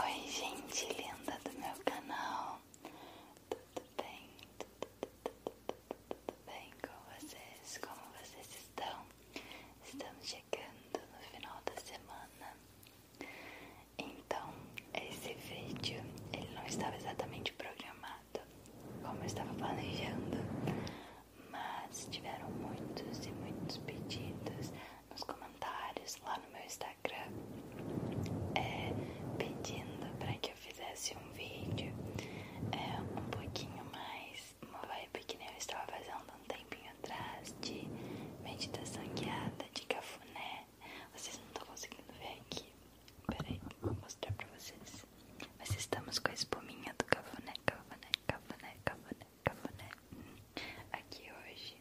Oi, gente linda do meu canal, tudo bem? Tudo, bem com vocês? Como vocês estão? Estamos chegando no final da semana. Então, esse vídeo ele não estava exatamente programado, como eu estava planejando, mas tiveram muitos e muitos pedidos nos comentários lá no meu Instagram é, pedindo para que eu fizesse um vídeo é, um pouquinho mais uma vibe que nem eu estava fazendo um tempinho atrás de meditação guiada de cafuné. Vocês não estão conseguindo ver aqui. Peraí, vou mostrar pra vocês. Mas estamos com a espuminha do cafuné, cafuné, cafuné, cafuné, cafuné. Aqui hoje.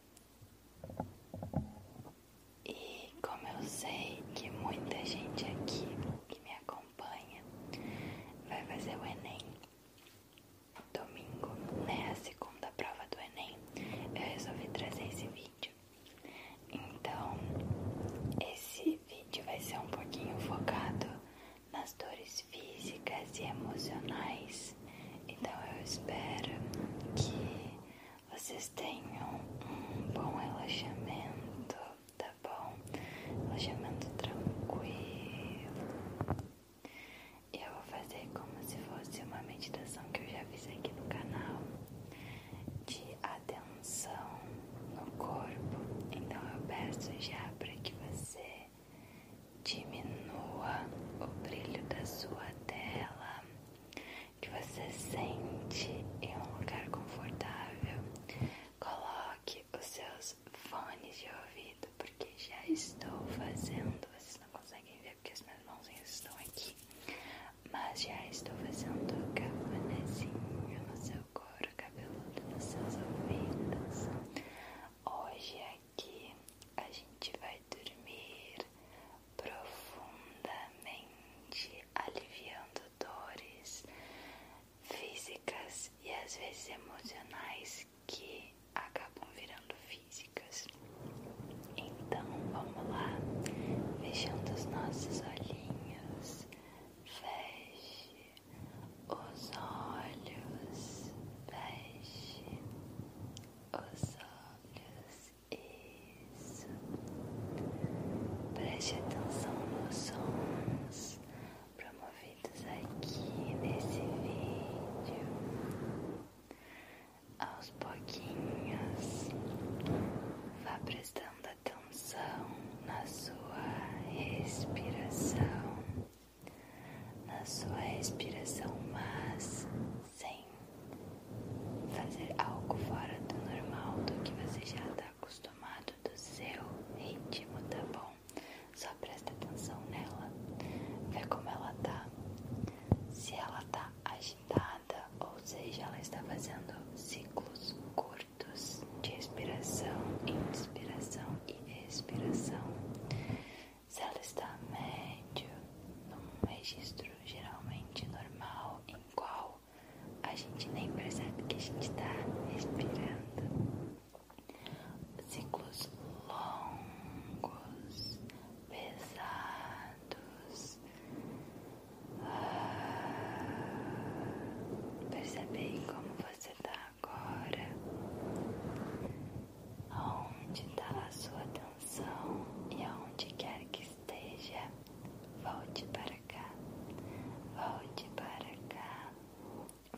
E como eu sei que muita gente aqui que me acompanha vai fazer o Enem domingo, né? A segunda prova do Enem, eu resolvi trazer esse vídeo. Então, esse vídeo vai ser um pouquinho focado nas dores físicas e emocionais então eu espero que vocês tenham um bom relaxamento, tá bom? Relaxamento tranquilo. Eu vou fazer como se fosse uma meditação que eu já fiz aqui no canal de atenção no corpo. Então eu peço já para que você diminua o brilho da sua tela, que você sente em um lugar confortável. Coloque os seus fones de ouvido, porque já estou fazendo. Vocês não conseguem ver porque as minhas mãozinhas estão aqui, mas já estou fazendo o cafunézinho no seu couro cabeludo, nos seus ouvidos. Hoje é que a gente vai dormir profundamente, aliviando dores físicas e às vezes emocionais que acabam virando físicas. Então vamos lá, fechando os nossos olhinhos, feche os olhos, feche os olhos, isso. Preste atenção nos sons promovidos aqui nesse vídeo. Aos pouquinhos, vá prestando atenção na sua respiração na sua respiração, mas sem fazer algo fora do normal do que você já está acostumado do seu ritmo, tá bom? Só presta atenção nela, vê como ela tá, se ela tá agitada, ou seja, ela está fazendo ciclos curtos de expiração, inspiração e expiração se ela está média, num registro geralmente normal, em qual a gente nem percebe que a gente está respirando. Ciclos longos, pesados. Ah, percebe percebe como você está agora aonde está a sua atenção e aonde quer que esteja, volte para cá, volte para cá,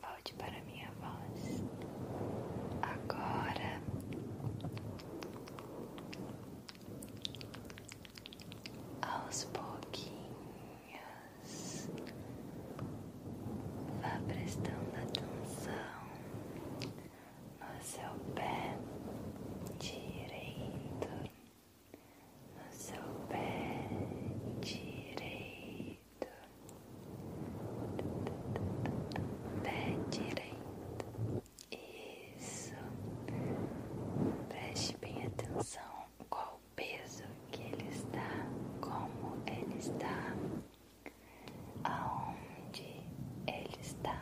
volte para minha voz. Agora aos pouquinhos Vá prestando atenção no seu pé direito, no seu pé direito, pé direito. Isso. Preste bem atenção qual o peso que ele está, como ele está aonde ele está.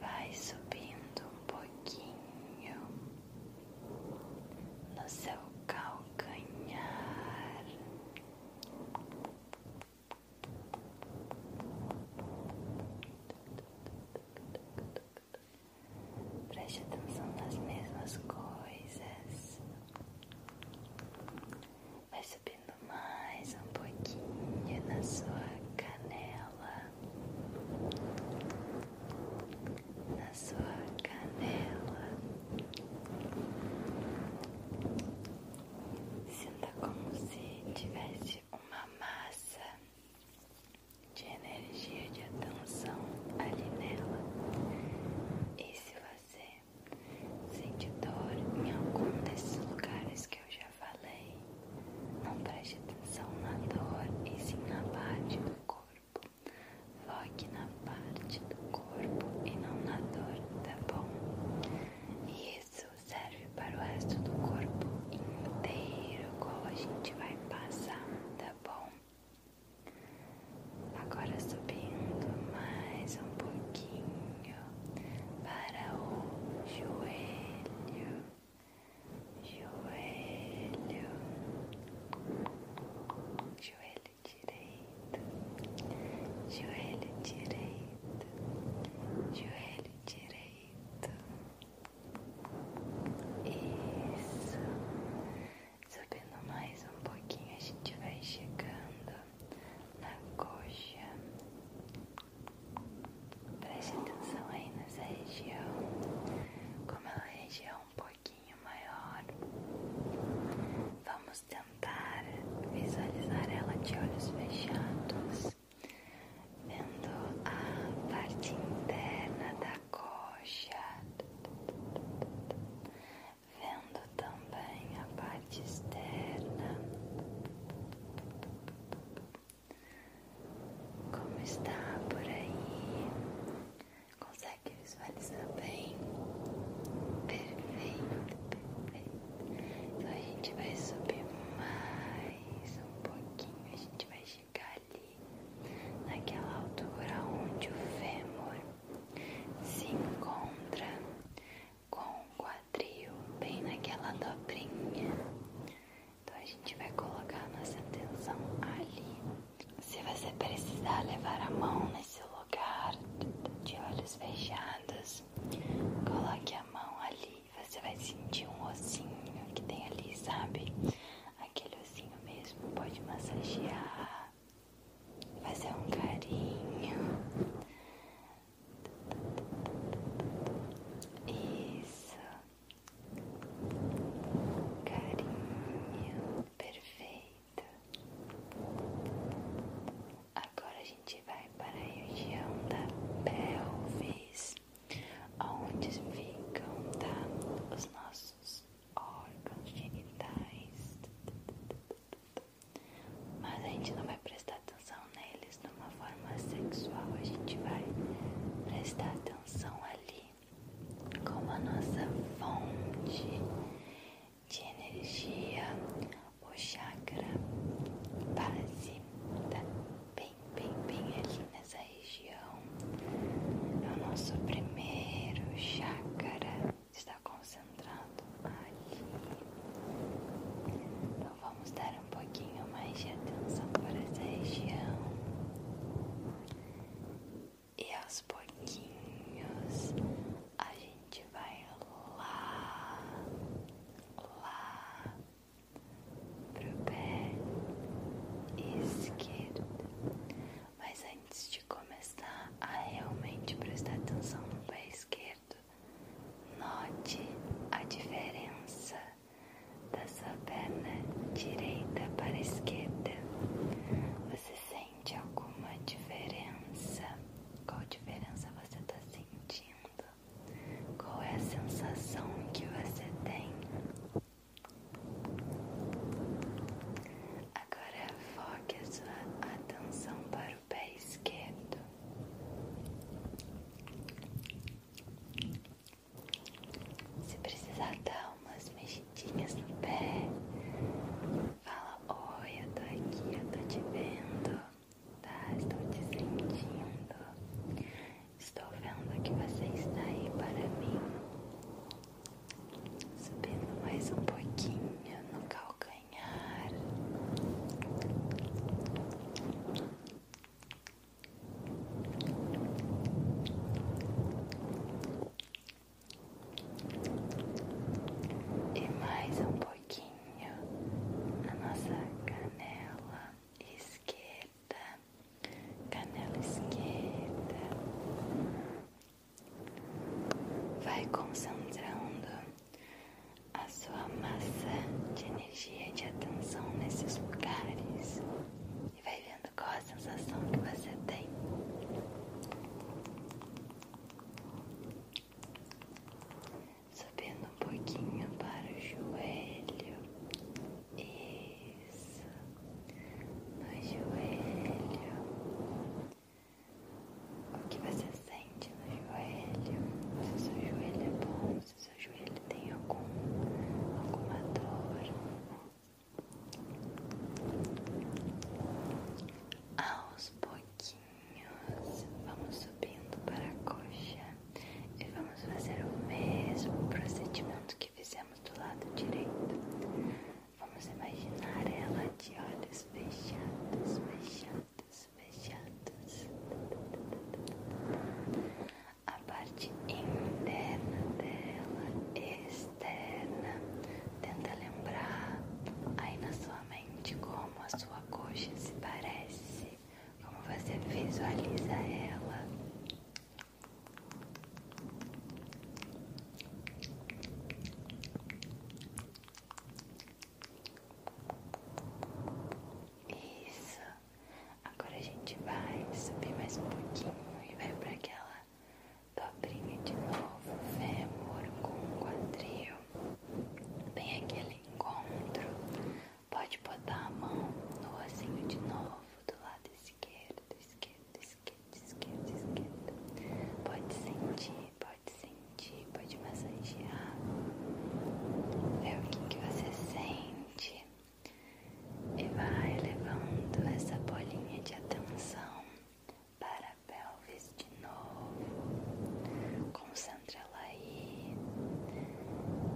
Vai subindo um pouquinho no seu calcanhar. Preste atenção nas mesmas coisas, Vai subindo mais um pouquinho na sua canela, na sua canela. Sinta como se tivesse uma massa de energia de atenção ali nela. E se você sente dor em algum desses lugares que eu já falei, não preste atenção na dor e sim na parte do corpo. Foque na parte do corpo e não na dor, tá bom? E isso serve para o resto do corpo inteiro, qual a gente vai passar, tá bom? Agora subindo mais um pouquinho para o joelho, joelho, joelho direito, joelho direito, joelho direito. Isso. Subindo mais um pouquinho, a gente vai chegando na coxa. Preste atenção aí nessa região, como ela é uma região um pouquinho maior. Vamos tentar visualizar ela de olhos fechados, vendo a parte interna da coxa vendo também a parte externa, como está por aí, consegue visualizar bem? Perfeito, perfeito. Então a gente vai subir mais um pouquinho, a gente vai chegar ali naquela altura onde o fêmur se encontra com o quadril bem naquela dobrinha. Então a gente vai colocar nossa atenção ali. Se você precisar levar a mão nesse lugar de olhos fechados, coloque a mão ali. Você vai sentir um ossinho que tem ali, sabe? Aquele ossinho mesmo pode massagear fazer um carinho. Isso. Carinho. Perfeito. Agora a gente vai para a região da pelvis, onde ficam tá, os nossos órgãos genitais, mas a gente não vai prestar atenção neles de uma forma sexual, a gente vai prestar atenção ali como a nossa fonte de energia, o chakra base, tá bem, bem, bem ali nessa região coração, é o nosso primeiro chácara, está concentrado ali. Então vamos dar um pouquinho mais de atenção para essa região e aos pouquinhos a gente vai lá, lá pro pé esquerdo. Mas antes começar a realmente prestar atenção no pé esquerdo, note a diferença da sua perna direita para a esquerda. Você sente alguma diferença? Qual diferença você está sentindo? Qual é a sensação que você tem? Agora foque a sua atenção para o pé esquerdo. Se precisar dar umas mexidinhas no pé, fala: Oi, eu tô aqui, eu tô te vendo, tá? Estou te sentindo. Estou vendo que você está aí para mim. Subindo mais um pouquinho no calcanhar. E mais um pouquinho na nossa canela esquerda canela esquerda, vai concentrando a sua massa de energia e de atenção nesses lugares e vai vendo qual a sensação que você tem. Subindo um pouquinho para o joelho, isso. No joelho. O que você sente no joelho? Se seu joelho é bom, se seu joelho tem algum, alguma dor. Aos pouquinhos, vamos subindo para a coxa e vamos fazer o mesmo procedimento que fizemos do lado direito. Vamos imaginar ela de olhos fechados, fechados, fechados. A parte interna dela, externa. Tenta lembrar aí na sua mente como a sua coxa se parece, como você visualiza ela. Isso. Agora a gente vai subir mais um pouquinho e vai para aquela dobrinha de novo, fêmur com quadril. Bem aquele encontro. Pode botar a mão no ossinho de novo do lado esquerdo, esquerdo esquerda, esquerda, esquerda. Pode sentir, pode sentir, pode massagear. Ver é o que, você sente. E vai levando essa bolinha de atenção para a pelvis de novo. Concentra ela aí.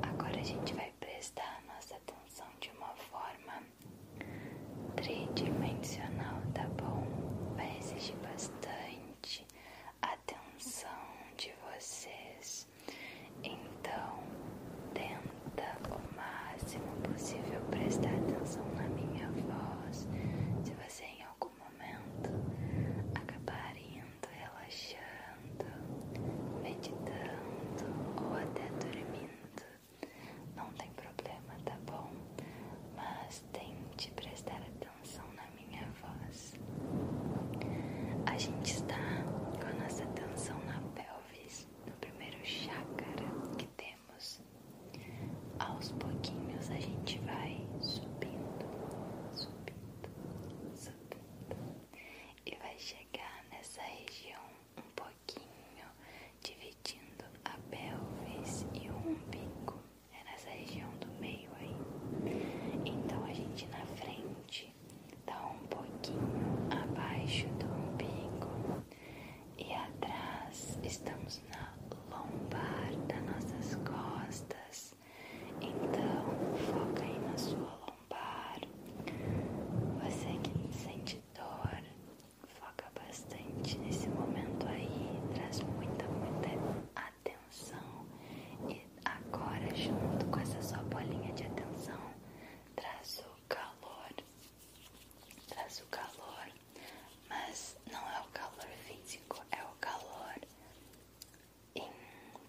Agora a gente vai prestar nossa atenção de uma forma tridimensional, tá bom? Vai exigir bastante atenção de vocês. Então, tenta o máximo possível prestar atenção na minha voz. Se você em algum momento acabar indo, relaxando, meditando ou até dormindo, não tem problema, tá bom? Mas tente prestar atenção na minha voz. A gente está com a nossa atenção na pelvis, no primeiro chácara que temos. Aos pouquinhos a gente vai subindo, subindo, subindo e vai chegar nessa região um pouquinho pouquinho, dividindo a pelvis e o umbigo. É nessa região do meio aí. Então a gente na frente dá um pouquinho abaixo do umbigo e atrás estamos na lombar das nossas costas. Então foca aí na sua você que sente dor, foca bastante nesse momento aí, traz muita, muita atenção. E agora, junto com essa sua bolinha de atenção, traz o calor. Traz o calor, mas não é o calor físico, é o calor interno,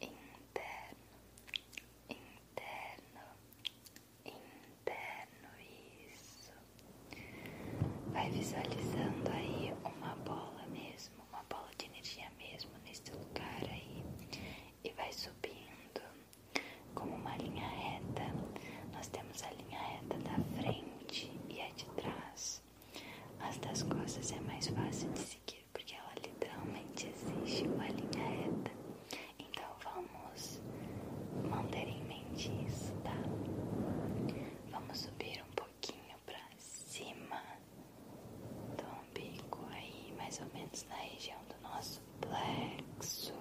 interno, interno, interno, isso. Vai visualizando aí uma bola mesmo, uma bola de energia mesmo nesse lugar aí e vai subindo como uma linha reta. Nós temos a linha reta da frente e a de trás. As das costas é mais fácil de seguir porque ela literalmente exige uma linha reta. Então vamos manter em mente isso, tá? Vamos subir um pouquinho pra cima do umbigo, aí mais ou menos na região do nosso plexo,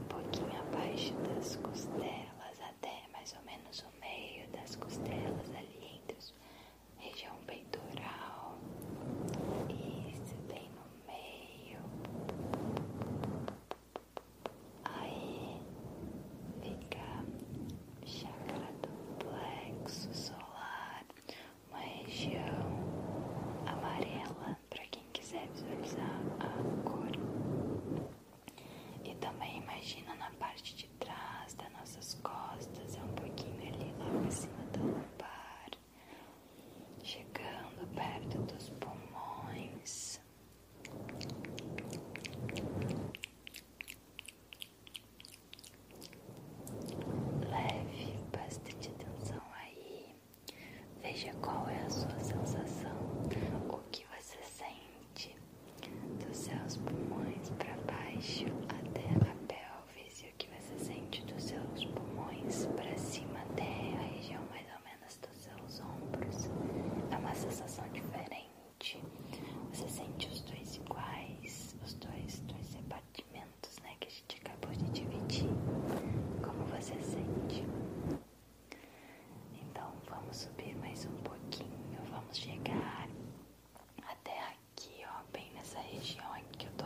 um pouquinho abaixo das costelas, até mais ou menos o meio das costelas, ali entre os região peitoral, se bem no meio, aí fica chakra do plexo solar, uma região amarela para quem quiser visualizar a cor. E também imagina na parte de atrás trás das nossas costas, é um pouquinho ali logo acima da lombar, chegando perto dos pulmões. Leve bastante atenção aí, veja qual é a sua sensação, o que você sente dos seus pulmões para baixo até a pele o que você sente dos seus pulmões para cima até a região mais ou menos dos seus ombros. É uma sensação diferente. Você sente os dois iguais, os dois, dois repartimentos né, que a gente acabou de dividir. Como você sente? Então vamos subir mais um pouquinho, vamos chegar até a aqui, ó, bem nessa região aqui que eu tô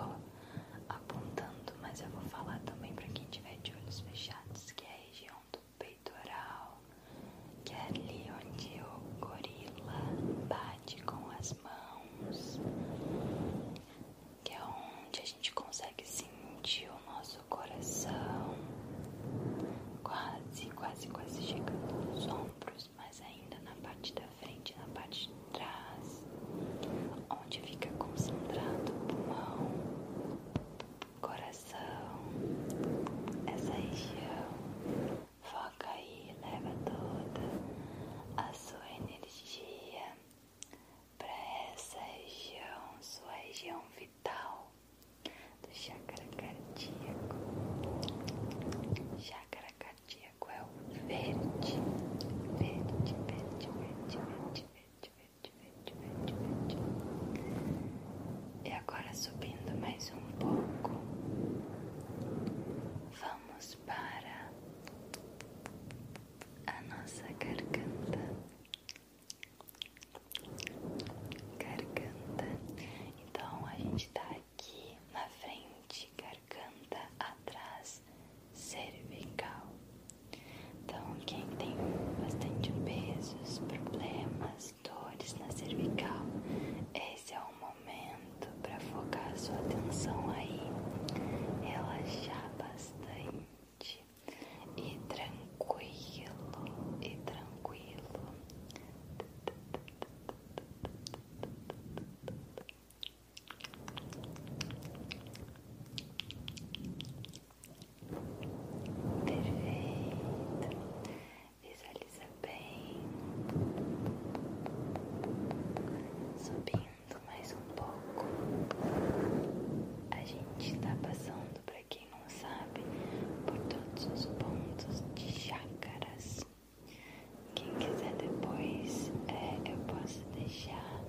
apontando, mas eu vou falar também para quem tiver de olhos fechados, que é a região do peitoral, que é ali onde o gorila bate com as mãos, que é onde a gente consegue sentir o nosso coração, quase, quase, quase chegando nos ombros, mas ainda na parte da frente na parte de trás, onde fica concentrado o pulmão, coração, essa região. Foca aí, leva toda a sua energia para essa região, sua região vital do chakra cardíaco. Chakra cardíaco cardíaco é o verde. Verde, verde, verde, verde, verde, verde, verde, verde, verde. E agora subindo mais um pouco. Vamos para a nossa garganta. Garganta. Então a gente tá aqui na frente, garganta atrás, cervical. Então, quem tem bastante pesos, problemas, dores na cervical, esse é o momento para focar sua atenção aí, relaxar bastante e tranquilo, e tranquilo. Perfeito. Visualiza bem. Subindo mais um pouco. A gente está passando, para quem não sabe, por todos os pontos de chácaras. Quem quiser depois, é, eu posso deixar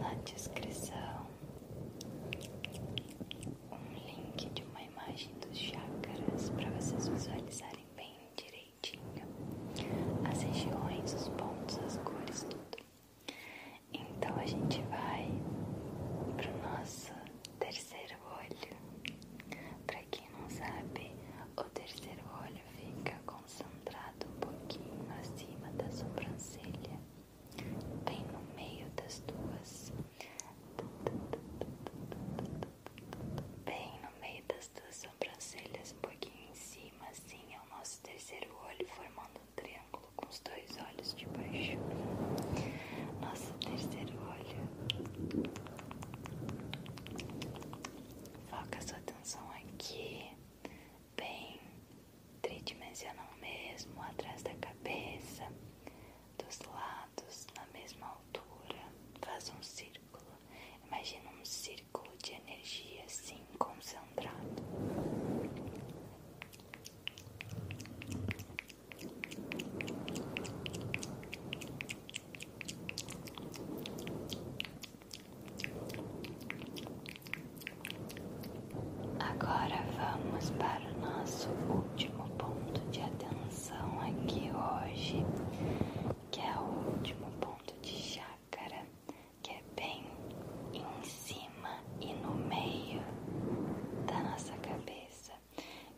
na descrição um link de uma imagem dos chakras para vocês visualizarem bem direitinho as regiões, os pontos, as cores, tudo. Então a gente vai para o nosso terceiro terceiro olho. Para quem não sabe, o terceiro olho fica concentrado um pouquinho acima da sobrancelha, bem no meio das duas. Bem no meio das duas sobrancelhas, um pouquinho em cima, assim é o nosso terceiro olho, formando um triângulo com os dois olhos de baixo. Nosso terceiro olho Foca sua atenção aqui, bem tridimensional mesmo, atrás da cabeça, dos lados, na mesma altura. Faz um círculo. Imagina um círculo de energia assim concentrado. Agora vamos para o nosso último ponto de atenção aqui hoje, que é o último ponto de chácara, que é bem em cima e no meio da nossa cabeça.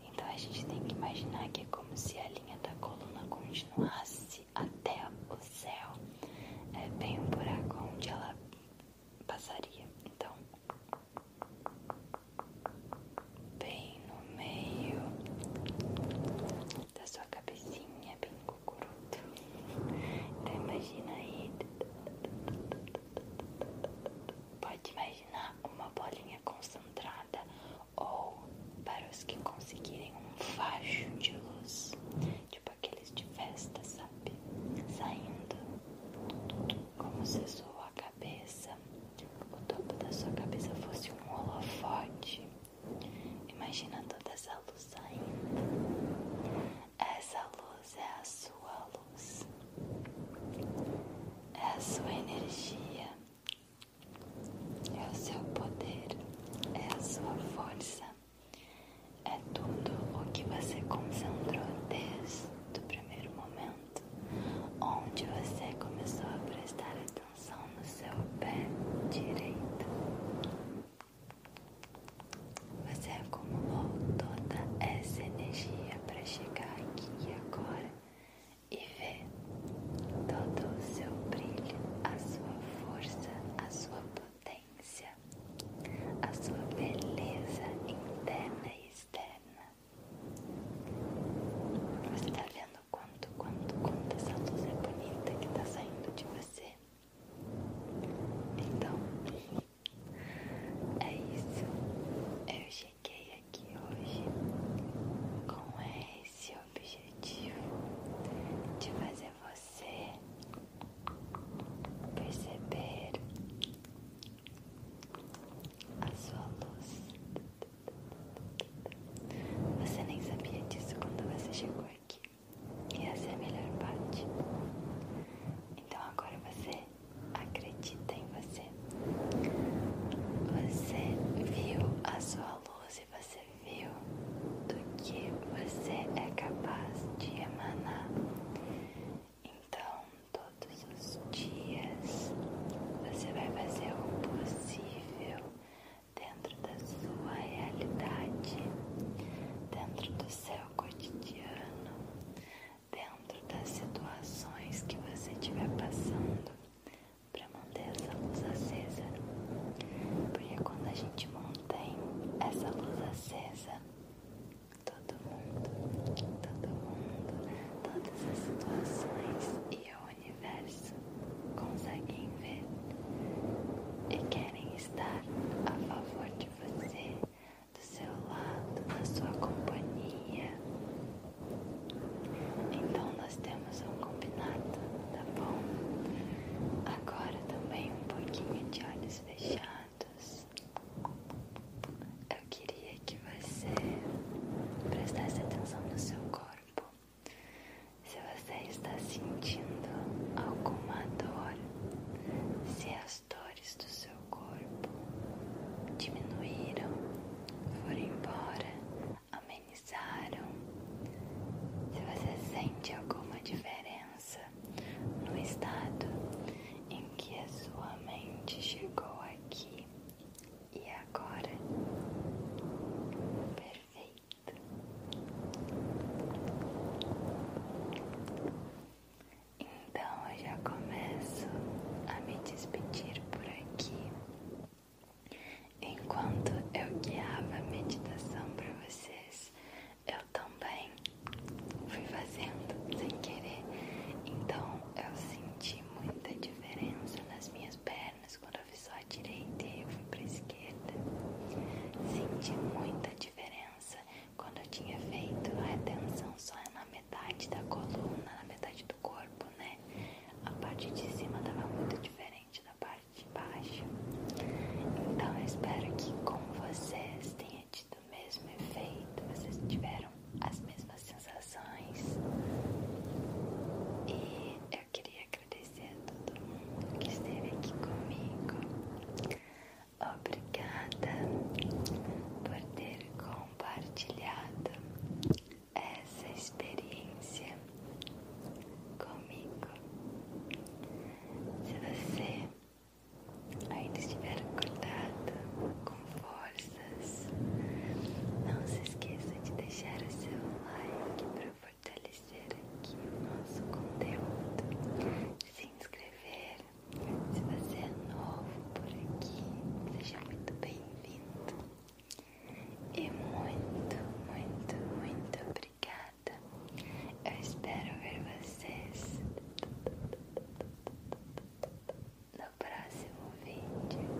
Então a gente tem que imaginar que é como se a linha da coluna continuasse até o céu. É bem um buraco onde ela passaria. Então, bem no meio da sua cabecinha, bem cucuruto. Então imagina aí. Pode imaginar Imagina uma bolinha concentrada ou para os que conseguirem um facho de luz, tipo aqueles de festa, sabe? Saindo como se sua cabeça, o topo da sua cabeça fosse um holofote. Imagina toda essa luz saindo. Essa luz é a sua luz é a sua energia, é o seu poder, é a sua força, é tudo o que você concentrou desde o primeiro momento, onde você começou a prestar atenção no seu pé direito. Você acumulou toda essa energia para chegar aqui agora e ver todo o seu brilho, a sua força, a sua potência, a sua beleza interna e externa. Você está vendo quanto, quanto, quanto essa luz é bonita que está saindo de você? Então, é isso. Eu cheguei aqui hoje com esse objetivo de fazer você perceber a sua luz. Você nem sabia disso quando você chegou aqui. E essa é a melhor parte. Então agora você você acredita em você. Você viu a sua luz e você viu do que você é capaz de emanar. Então, todos os dias, você vai fazer o possível dentro da sua realidade, dentro do seu cotidiano, dentro das situações que você estiver passando para manter essa luz acesa. Porque quando a gente mantém essa luz acesa, todo mundo, todo mundo, todas as situações e o universo conseguem ver e querem estar a favor de você do seu lado, na sua companhia. Então nós temos um combinado, tá bom? Agora também um pouquinho de olhos fechados. Eu queria que você prestasse atenção no seu corpo. Se você está sentindo alguma dor, se as dores do seu corpo diminuíram, foram embora, amenizaram. Se você sente alguma diferença no estado em que a sua mente chegou aqui e agora, perfeito. Então eu já começo a me despedir por aqui. Enquanto eu guiava a meditação para vocês, eu também fui fazendo sem querer. Então eu senti muita diferença nas minhas pernas quando eu fiz só a direita e eu fui para a esquerda. Senti muita diferença quando eu tinha feito a retenção só é na metade da coluna, na metade do corpo, né? A parte de cima estava muito diferente da parte de baixo. Então eu espero que com vocês tenha tido o mesmo efeito, vocês tiveram as mesmas sensações. E eu queria agradecer a todo mundo que esteve aqui comigo. Obrigada por ter compartilhado essa experiência comigo. Se você ainda estiver acordado com forças, não se esqueça de deixar o seu like para fortalecer aqui o nosso conteúdo, se inscrever se você é novo por aqui, seja muito bem-vindo e muito, muito, muito obrigada. Eu espero ver vocês no próximo vídeo.